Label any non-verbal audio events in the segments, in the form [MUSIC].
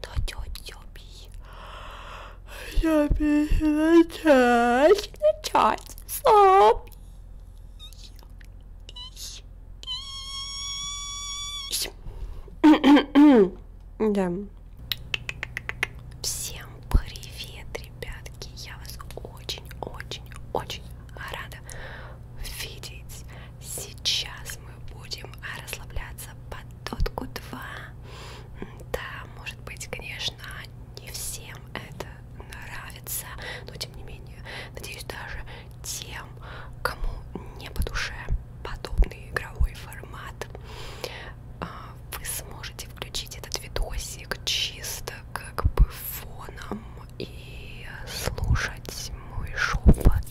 то тетя Би. Я начать, начать сам. Да. Всем привет, ребятки. Я вас очень-очень-очень рада видеть. Сейчас мы будем расслабляться под тотку 2. Да, может быть, конечно, не всем это нравится, но тем не менее, надеюсь, даже тем, кому не по душе подобный игровой формат, а, вы сможете включить этот видосик чисто как бы фоном и слушать мой шепот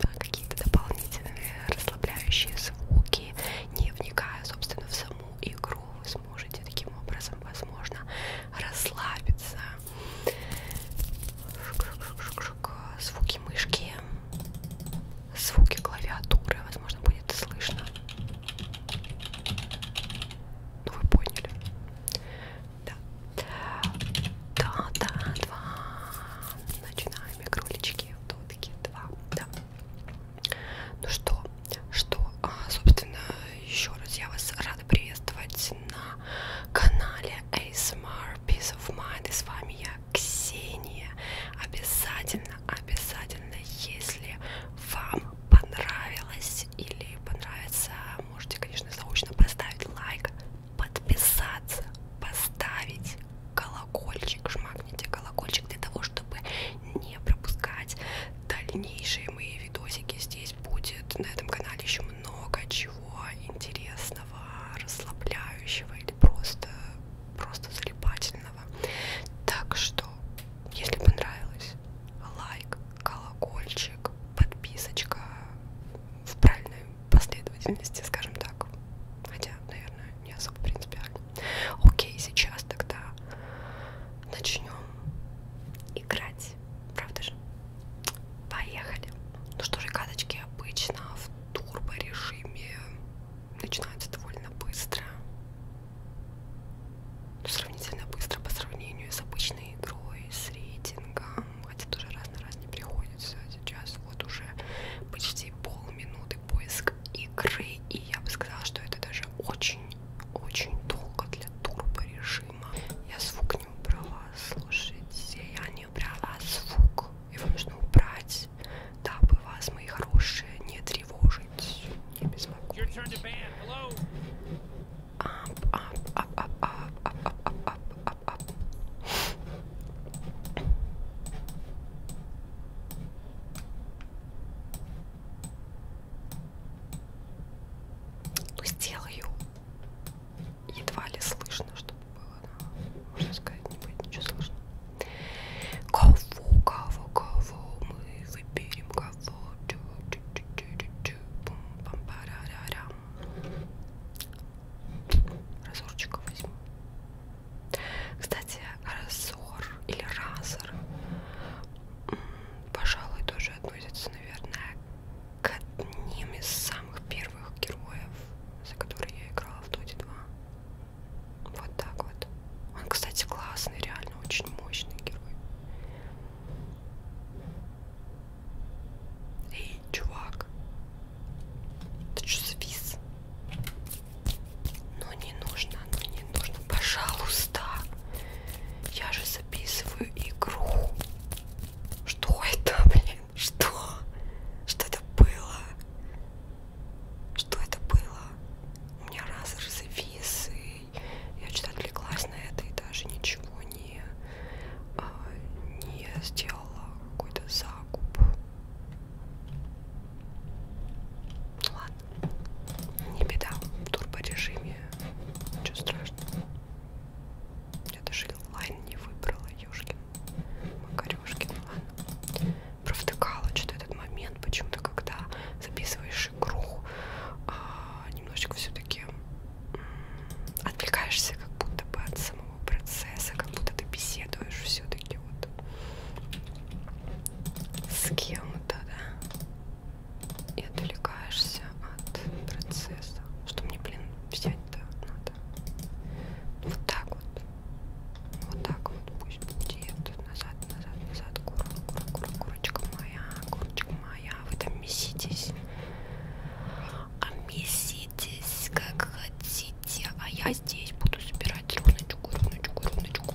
да, какие-то дополнительные расслабляющие звуки, не вникая, собственно, в саму игру, вы сможете таким образом, возможно, расслабиться. Шук -шук -шук -шук. Звуки мышки, звуки клавиатуры, возможно, будет слышно. Ну вы поняли. Да. Да, да, два. Начинаем вами кролички, то вот такие два, да. Ну что, что, а, собственно, еще раз я вас рада приветствовать на канале ASMR Peace of Mind, и с вами я, Ксения. Обязательно, обязательно, если вам понравилось или понравится, можете, конечно, заочно поставить лайк, подписаться, поставить колокольчик, жмакните колокольчик для того, чтобы не пропускать дальнейшие мои видосики. Здесь будет на этом канале еще много чего интересного, расслабляющего или просто, просто залипательного. Так что, если понравилось, лайк, колокольчик, подписочка в правильном последовательности, скажем так. Хотя, наверное, не особо принципиально. Окей, сейчас тогда начнем играть. Правда же? Поехали. Ну что же, каточки обычно в турбо режиме начинаются довольно быстро. Ну, сравнительно быстро по сравнению с обычной игрой, с рейтингом хотя тоже раз на раз не приходится. Сейчас вот уже почти полминуты поиск игры, и я бы сказала, что это даже очень-очень долго для турбо режима. Я звук не убрала, слушайте, я не убрала звук. Его нужно убрать, дабы вас, мои хорошие, не тревожить, не беспокоить. Ап, ап, ап, ап, ап, ап, ап, ап, ап ап, ап. Ну, сделаю. Едва ли слышно, чтобы было, но, можно сказать, не будет ничего слышно. Кого, кого, кого мы выберем, кого? Разорчика возьму. Кстати, разор или разор, пожалуй, тоже относится, наверное, к одним из самых первых героев, за которые я играла в Доте 2. Вот так вот. Он, кстати, классный, реально очень мощный герой. Эй, чувак, ты что завис? Ну не нужно, ну не нужно, пожалуйста. Я же записываю игру. Что это, [LAUGHS] блин? Что? Что это было? Что это было? У меня раз же завис, и я что-то отвлеклась на это и даже ничего не, а, не сделала какой-то закуп. Ладно, не беда, в турборежиме, ничего страшного. Я даже лайн не выбрала, ёшкин, макарёшкин, ладно. Провтыкала что-то этот момент, почему-то, когда записываешь игру, а, немножечко все таки отвлекаешься как будто бы от самого самого процесса, как будто ты беседуешь все-таки вот с кем-то, да, и отвлекаешься от процесса. Что мне, блин, взять-то надо? Вот так вот. Вот так вот пусть будет. Назад, назад, назад. Кура, кура, кура, курочка моя, курочка моя. Вы там меситесь. А меси Делитесь как хотите, а я здесь буду собирать руночку, руночку, руночку,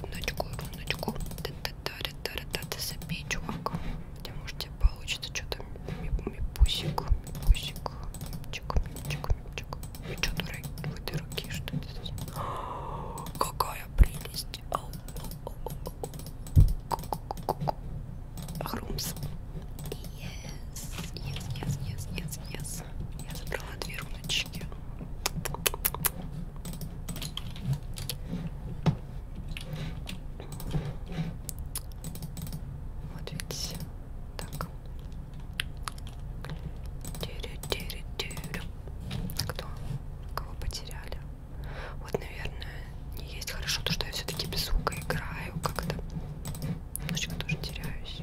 руночку, руночку. Та-та-та-та-та-та, забей, чувак. Где, может, тебе получится что-то мипусик, мипусик, мипчик, мипчик, мипчик. Вы что, дураки, вы дураки, что это здесь? [GASPS] Какая прелесть! Хрумс. Yes, yes, yes, yes, yes, yes. Я забрала две руночки. Вот видите, так. Кто? Кого потеряли? Вот, наверное, не есть хорошо то, что я все-таки без звука играю как-то. Немножечко тоже теряюсь.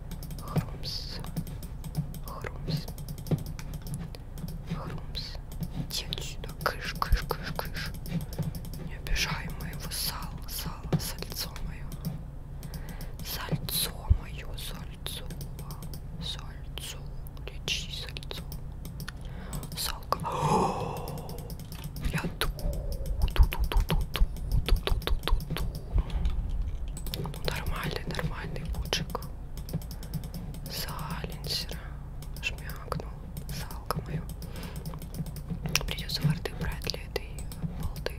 Хрумс. Хрумс. Хрумс. Тень сюда. Кыш, кыш, кыш, кыш. Не обижай моего сала, сала, сальцо мое. Сальцо мое, сальцо. Сальцо. Лечи сальцо. Салка. [GASPS] Я ту, ту, ту, ту, ту, ту, ту, ту, ту, ту, ту ну нормальный, нормальный лучик Саленсера шмякнул салка мою. Придется форты брать для этой полды.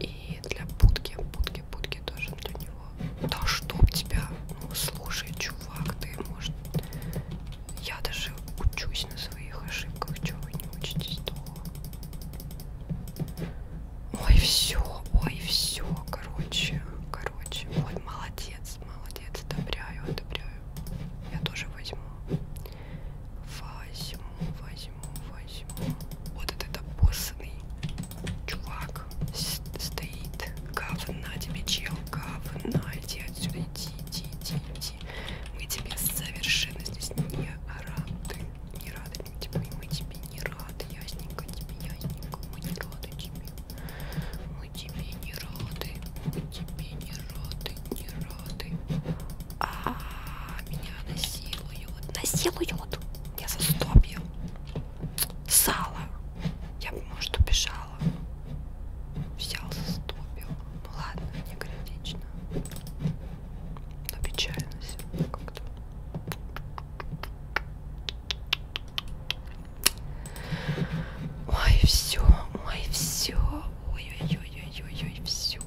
И для путки, путки, путки тоже для него. Да чтоб тебя, ну слушай, чувак, ты может. Я даже учусь на своих ошибках, чего вы не учитесь то. Ой, все, ой, все, короче, короче, ой, молодец, молодец, одобряю, одобряю. Я тоже возьму. Возьму, возьму, возьму. Вот этот обоссанный чувак стоит. Говна тебе, чел, говна, иди отсюда, иди, иди, иди, иди. Мы тебе совершенно здесь не ораты не рады типа, мы тебе не рады, ясненько тебе, ясненько, мы не рады тебе, мы тебе не рады, мы тебе не рады, не рады. А меня насилуют, насилуют, я за стопью, сало, я бы, может, убежала, взял за стопью, ну ладно, не критично. Отвечаю на себя как-то. Ой, все, ой, все. Ой-ой-ой-ой-ой, все.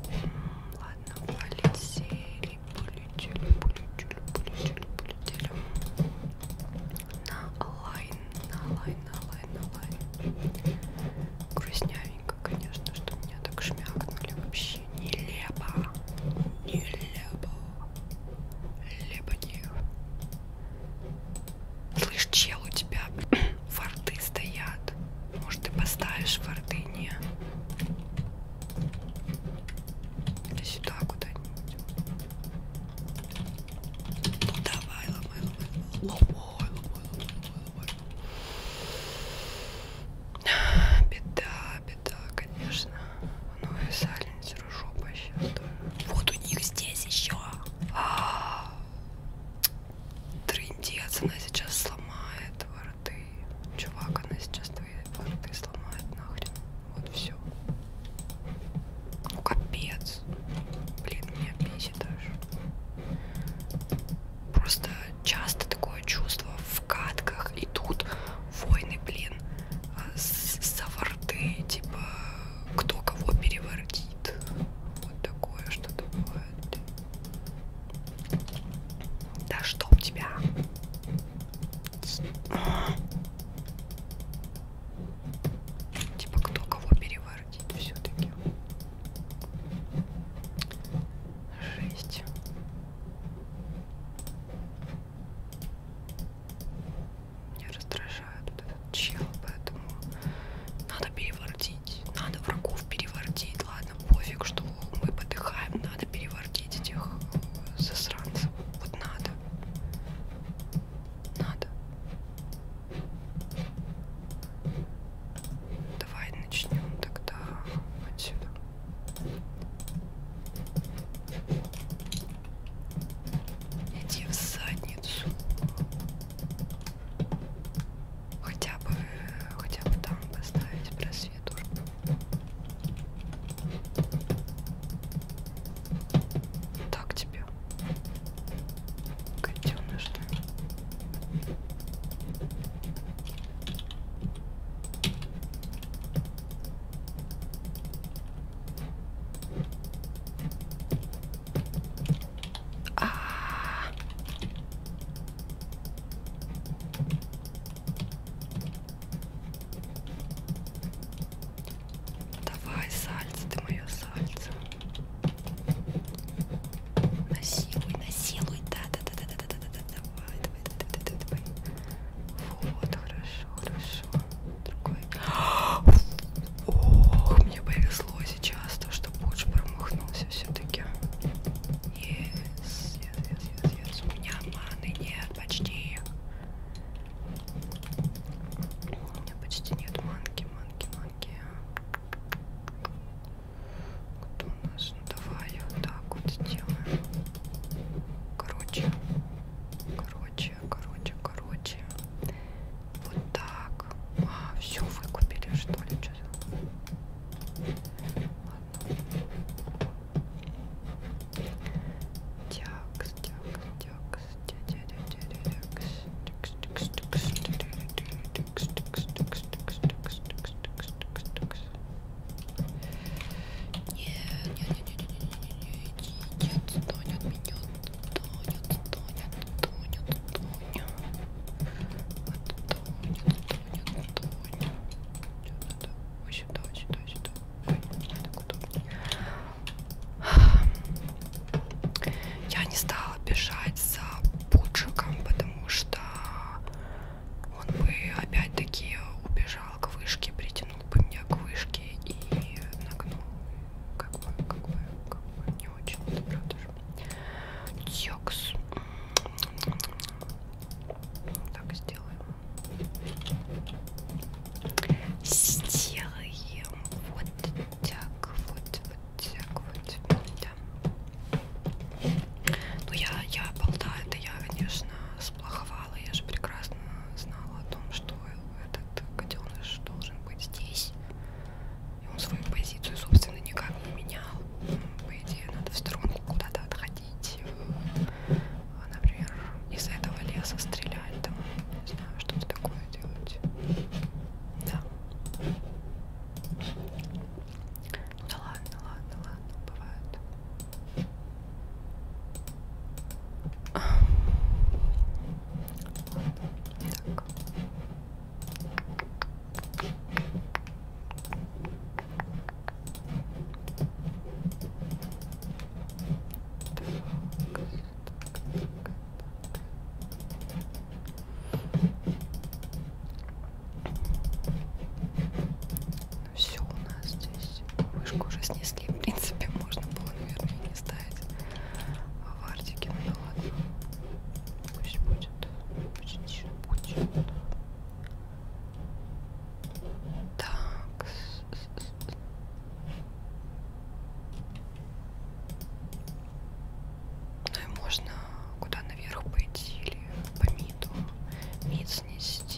Ладно, полетели, полетели, полетели, полетели, полетели. На лайн, на лайн, на лайн, на лайн. Грустнявенько, конечно, что меня так шмякнули вообще вообще нелепо. Нелепо. Лепотев. Слышь, чел, у тебя [CLEARS THROAT] форты стоят. Может, ты поставишь форты? Не. Или сюда куда-нибудь. Ну давай, ломай, ломай, ломай, ломай, ломай, ломай, ломай. [SIGHS] Беда, беда, конечно. Ну и сальницеру жопа сейчас тоже. Вот у них здесь еще. А -а -а. Трындец, она сейчас сломает ворты. Чувак, она сейчас твои ворты сломает нахрен. Вот все. Ну капец. Блин, меня бесит даже. Просто часто такое чувство в катках идут войны, блин, саварты, типа кто кого переворотит. Вот такое что-то бывает. Да что у тебя? Типа кто кого переворотит все-таки. Жесть. Меня раздражает вот этот чел, поэтому надо перевардить. Надо врагов перевардить. Ладно, пофиг, что мы подыхаем. Надо перевардить этих э, засранцев. Вот надо. Надо. Давай начнем тогда отсюда. Иди в задницу. Хотя бы, хотя бы там поставить просвету. Так тебе. Котеныш, да? А -а -а. Давай, сальце, ты мое сальце. Насилуй, насилуй, да, да, да, да, да, да, да, давай, вот, хорошо, хорошо. Другой. Ох, мне повезло сейчас, то, что Пудж промахнулся все-таки. Yes, yes, yes, yes, yes. У меня маны нет почти. У меня почти нет манки, манки, манки. Кто у нас? Ну давай вот так вот сделаем. Короче, короче, короче, короче. Вот так. А, все выкупили, что ли? Что Тякс, тякс, тякс, тякс, тякс, тякс, тякс, нет, нет, нет, нет, нет, нет, нет, Тоня от меня, Тоня, Тоня, Тоня, Тоня, Тоня, Тоня, Тоня. Вот сюда, вот сюда, вот сюда. Ой, так удобнее. Я не стала бежать за пуджиком, потому что он бы опять-таки убежал к вышке, притянул бы меня к вышке и нагнул. Как бы, как бы, как бы не очень, это правда же. Текс. Так сделаем. Сделаем вот так, вот, вот так, вот, да. Ну я, я балда, это я, конечно, сплоховала. Я же прекрасно знала о том, что этот котеныш должен быть здесь. И он свою позицию, собственно, никак не менял. По идее, надо в сторонку куда-то отходить. Э, например, из этого леса стрелять, там, не знаю, что-то такое делать. Да. Ну да ладно, ладно, ладно, бывает. Так. Так, ну все у нас здесь. Вышку уже снесли, в принципе, можно было, наверное, и не ставить. А в Артике, ну да ладно. Пусть будет. Почти будет. Так. Ну и можно куда наверх пойти или по миду. Мид снести.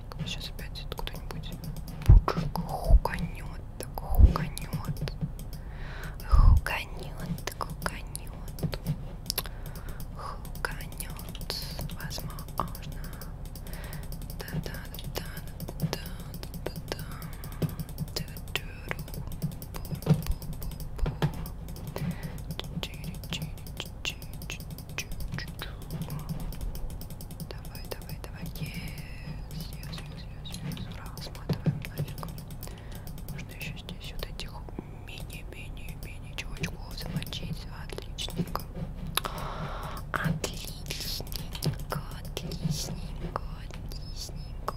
Пуджик. Сейчас опять откуда-нибудь. Пуджик хуканет, так хуканет. Хуканет, так хуканет. Хуканет. Возможно. Да-да-да-да-да-да-да. Чири-чири-чири-чири-чири. Давай, давай, давай. Yes, yes, yes, yes, yes. Ура, сматываем нафиг. Нужно еще здесь вот этих мини-мини-мини чувачков замочить. Отличненько. Отличненько, отличненько, отличненько.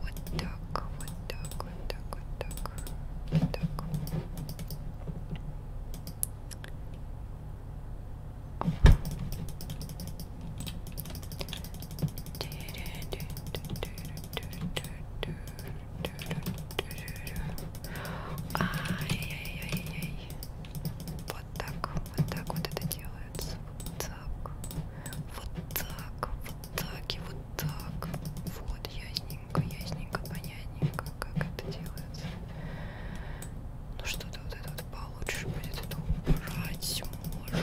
Вот так, вот так, вот так, вот так. Вот так. Ай-яй-яй-яй. Вот так, вот так вот это делается. Вот так, вот так, вот так и вот так. Вот я понятненько, ясненько, понятненько, как это делается. Ну что-то вот это вот получше будет, это убрать можно.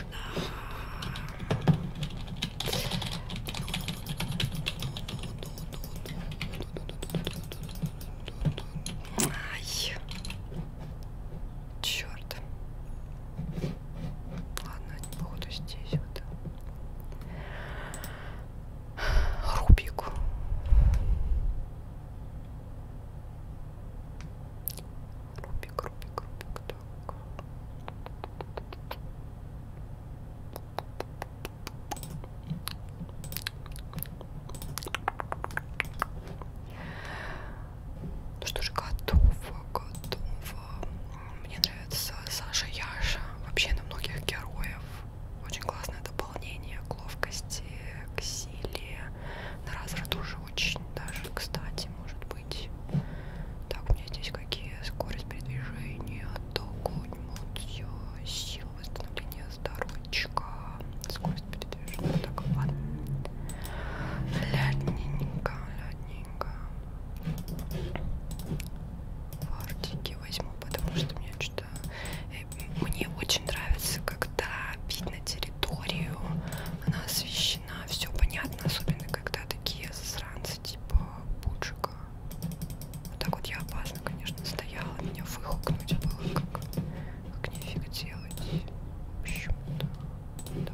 Ай. Черт. Ладно, не буду здесь вот. Рубик. Рубик, Рубик, Рубик, так. Ну что же, готово, готово. Мне нравится Саша Яша. Вообще на многих героев очень классное дополнение к ловкости, к силе. На разрыв тоже очень даже, кстати, может быть. Так, у меня здесь какие скорость передвижения, атаку, эмоцию, силу восстановления здоровья, скорость передвижения. Так, ладно. Лядненько, лядненько. Фартики все-таки возьму, потому что мне что-то э, мне очень нравится, когда видно территорию, она освещена, все понятно, особенно когда такие засранцы типа Пуджика. Вот так вот я опасно, конечно, стояла, меня выхукнуть было как, как нифиг делать. Почему-то. Да.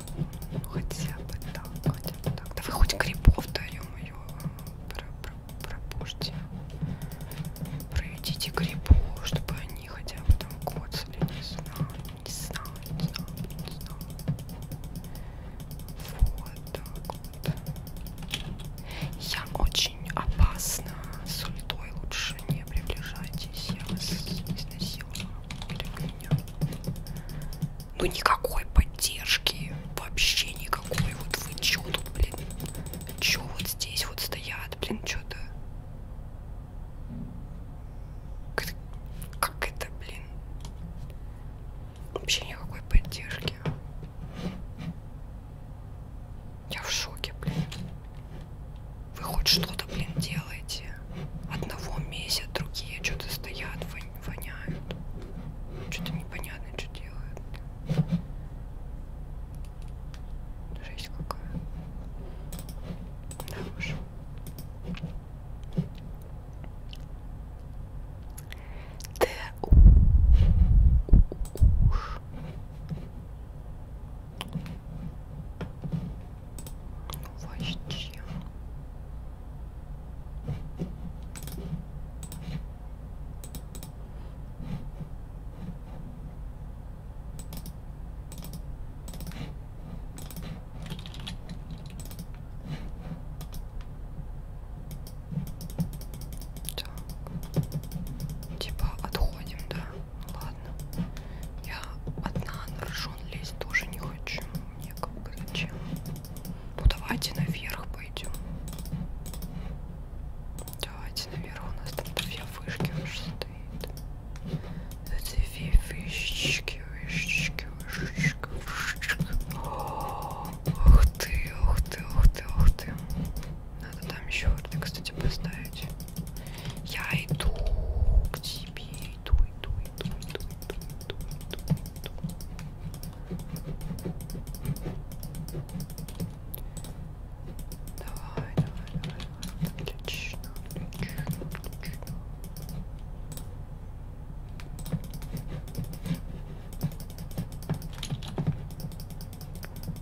ну, ну хотя бы так, хотя бы так. Да вы хоть грибов даем ее пропушьте. Проведите грибов, чтобы они хотя бы там коцали, не знаю, не знаю, не знаю, не знаю. Вот так вот. Я очень опасна. С ультой лучше не приближайтесь. Я вас изнасилую. Или меня. Ну никакой поддержки, вообще никакой. Вот вы чё тут, блин? Чё вот здесь вот стоят, блин, чё-то? Как это, блин? Вообще никакой поддержки. Я в шоке, блин. Вы хоть что-то, блин, делаете одного месяц, другие что-то стоят, воняют. Что-то непонятно, что делают. Жесть какая. Да уж. Да уж. Вообще. Так. Типа отходим, да? Ладно. Я одна на ржон лезть тоже не хочу мне как бы зачем? Ну давайте наверх пойдем. Давайте наверх, у нас там две вышки уже стоит. Две вышечки, вышечки, вышечка, вышечка. Ух ты, ух ты, ух ты, ух ты. Надо там еще орды, кстати, поставить. Я иду к тебе иду, иду, иду, иду, иду, иду, иду, иду. Давай, давай, давай, давай. Отлично, отлично, отлично.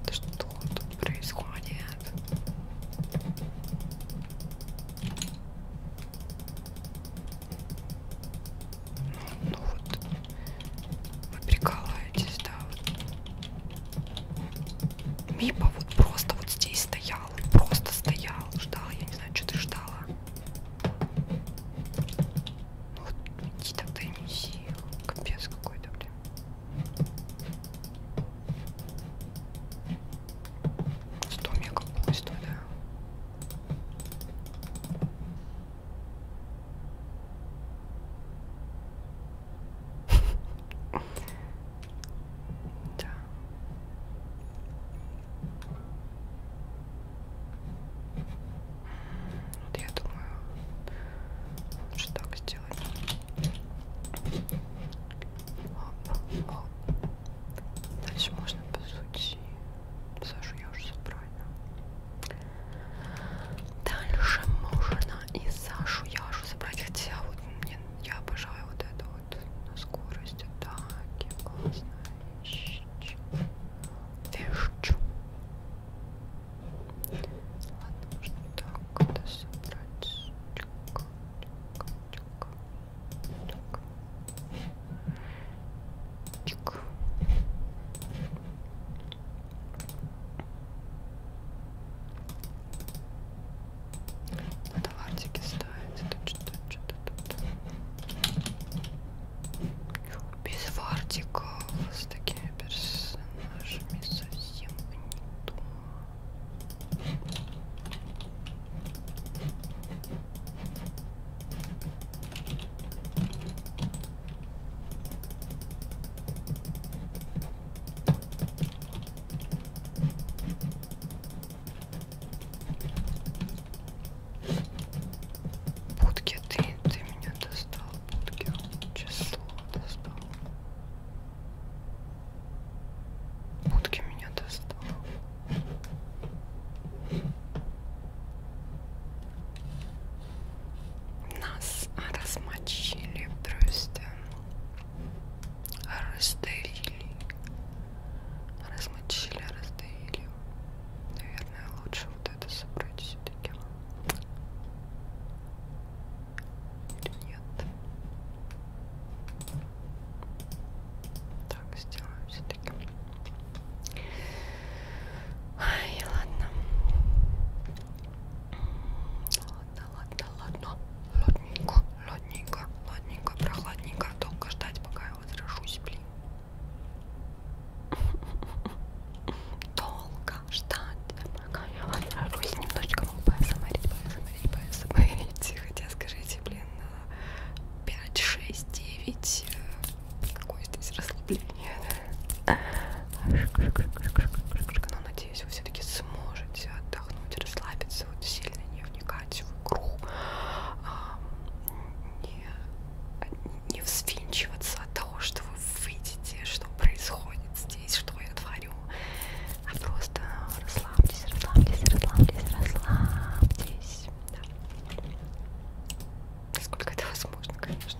Да что тут происходит? Ну вот, вы прикалываетесь, да? Вот. Мипа вот просто вот здесь стоял, просто стоял, ждал, я не знаю, что ты ждала. Ну вот, иди тогда и неси, капец какой-то, блин. Сто мега пусто, да? Да. Вот я думаю, лучше так сделать. Оп, оп, Дальше можно по сути. Сашу я уже забрала. Дальше можно и Сашу я уже забрать. Хотя вот мне я обожаю вот это вот на скорость атаки. Классно. Вещу. Ладно, можно так это собрать. Тихо, тихо, тихо. Чик. Надо латики ставить. Тут что-то, что-то тут. Без вартиков с такими персонажами совсем не то. Будки ты, ты меня достал, будки, число достал. Будки меня достал. Нас размочили в дрозде, раздавили, размочили, раздавили. Наверное, лучше вот это собрать все-таки. Или нет? Так, сделаем все-таки. Ай, ладно. Ладно, ладно, ладно. Ладненько, ладненько, ладненько, прохладненько. Долго ждать, пока я возражусь, блин. Долго ждать, пока я возражусь. Немножечко вам посмотреть, посмотреть, посмотреть. Тихо, тебе скажите, блин, 5, 6, 9. Э, Какое здесь расслабление, да? Но надеюсь, вы все-таки сможете отдохнуть, расслабиться, вот сильно не вникать в игру, не, не взвинчиваться от того, что вы видите, что происходит здесь, что я творю, а просто расслабьтесь, расслабьтесь, расслабьтесь, расслабьтесь. Да. Насколько это возможно, конечно.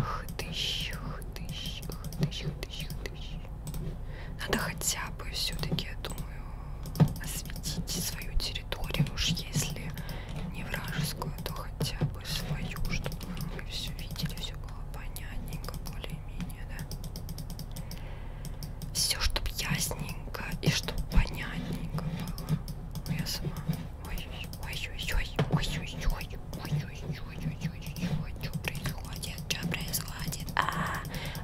Хтыщ, хтыщ, хтыщ, хтыщ, хтыщ. Надо хотя бы все-таки, я думаю, осветите свою территорию, уж если не вражескую, то хотя бы свою, чтобы вы все видели, все было понятненько, более-менее, да? Все, чтобы ясненько и чтобы понятненько было. Но я сама. Ой-ой-ой-ой-ой-ой-ой-ой-ой-ой-ой-ой-ой-ой, что происходит? Что происходит? А,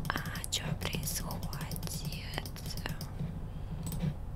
а, что происходит?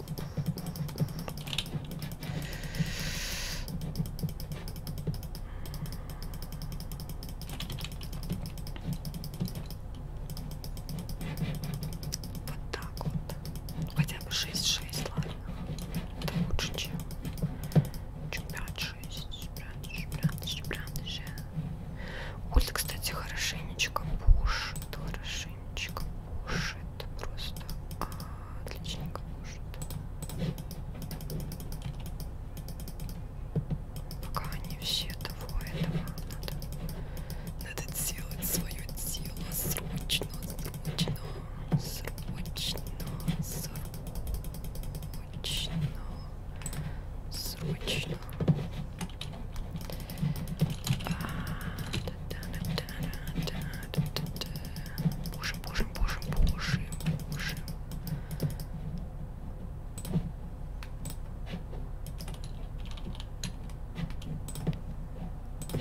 Вот так вот. Хотя бы 6-6, ладно. Это лучше, чем 5-6. Улица, кстати, хорошенечко пушит, хорошо. Женечка кушает просто а, отличненько кушает. Пока они все того этого надо, надо делать свое дело срочно, срочно, срочно, срочно, срочно. А, Боже, боже, боже, боже, боже. Это что? Ну, ну, ну, ну, ну.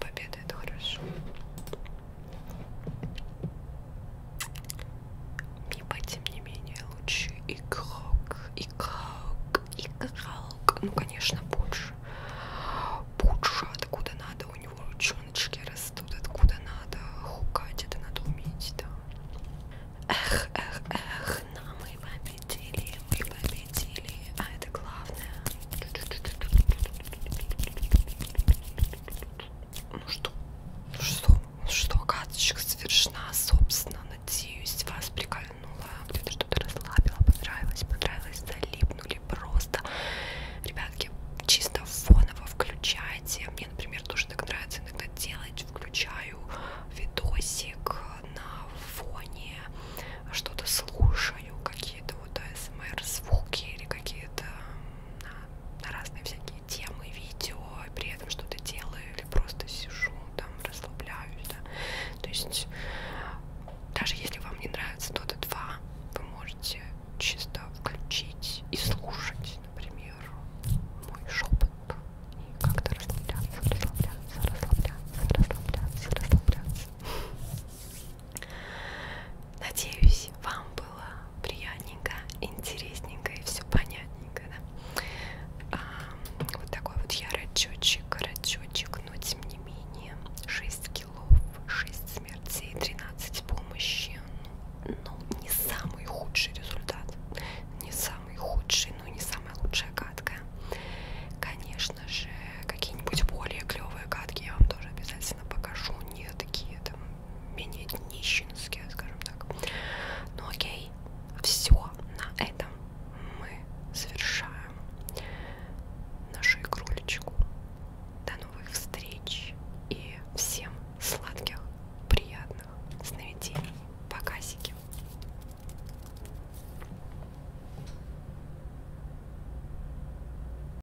Победа это хорошо. Мипа, тем не менее, лучший игрок, игрок, игрок. Ну, конечно, Пудж. Пудж, откуда надо, у него ручоночки растут, откуда надо хукать, это надо уметь, да. Эх, эх, эх, но мы победили, мы победили, а это главное. Ну что? Ну что? Ну что, каточка совершена, собственно, надеюсь, вас прикольнула, где-то что-то расслабила, понравилось, понравилось, залипнули просто. Ребятки, чисто фоново включайте, мне, например, тоже так нравится иногда делать, включаю видосик на фоне, что-то слушаю, какие-то вот АСМР-звуки или какие-то на, на разные всякие темы, видео, и при этом что-то делаю или просто сижу, там расслабляюсь, да. То есть даже если вам не нравится Dota 2, вы можете чисто включить и слушать, например, мой шепот и как-то расслабляться, расслабляться, расслабляться, расслабляться, расслабляться. Надеюсь, вам было приятненько, интересненько и все понятненько. Да? А, вот такой вот я рачочек, рачочек, но тем не менее 6 килов, 6 смертей, 13 помощи. Ну, не самый худший результат, не самый худший, но не самая лучшая катка. Конечно же, какие-нибудь более клевые катки я вам тоже обязательно покажу, не такие там менее нищенские, скажем так. Ну окей, все на этом мы завершаем нашу игрулечку. До новых встреч и всем сладких, приятных сновидений. Показики.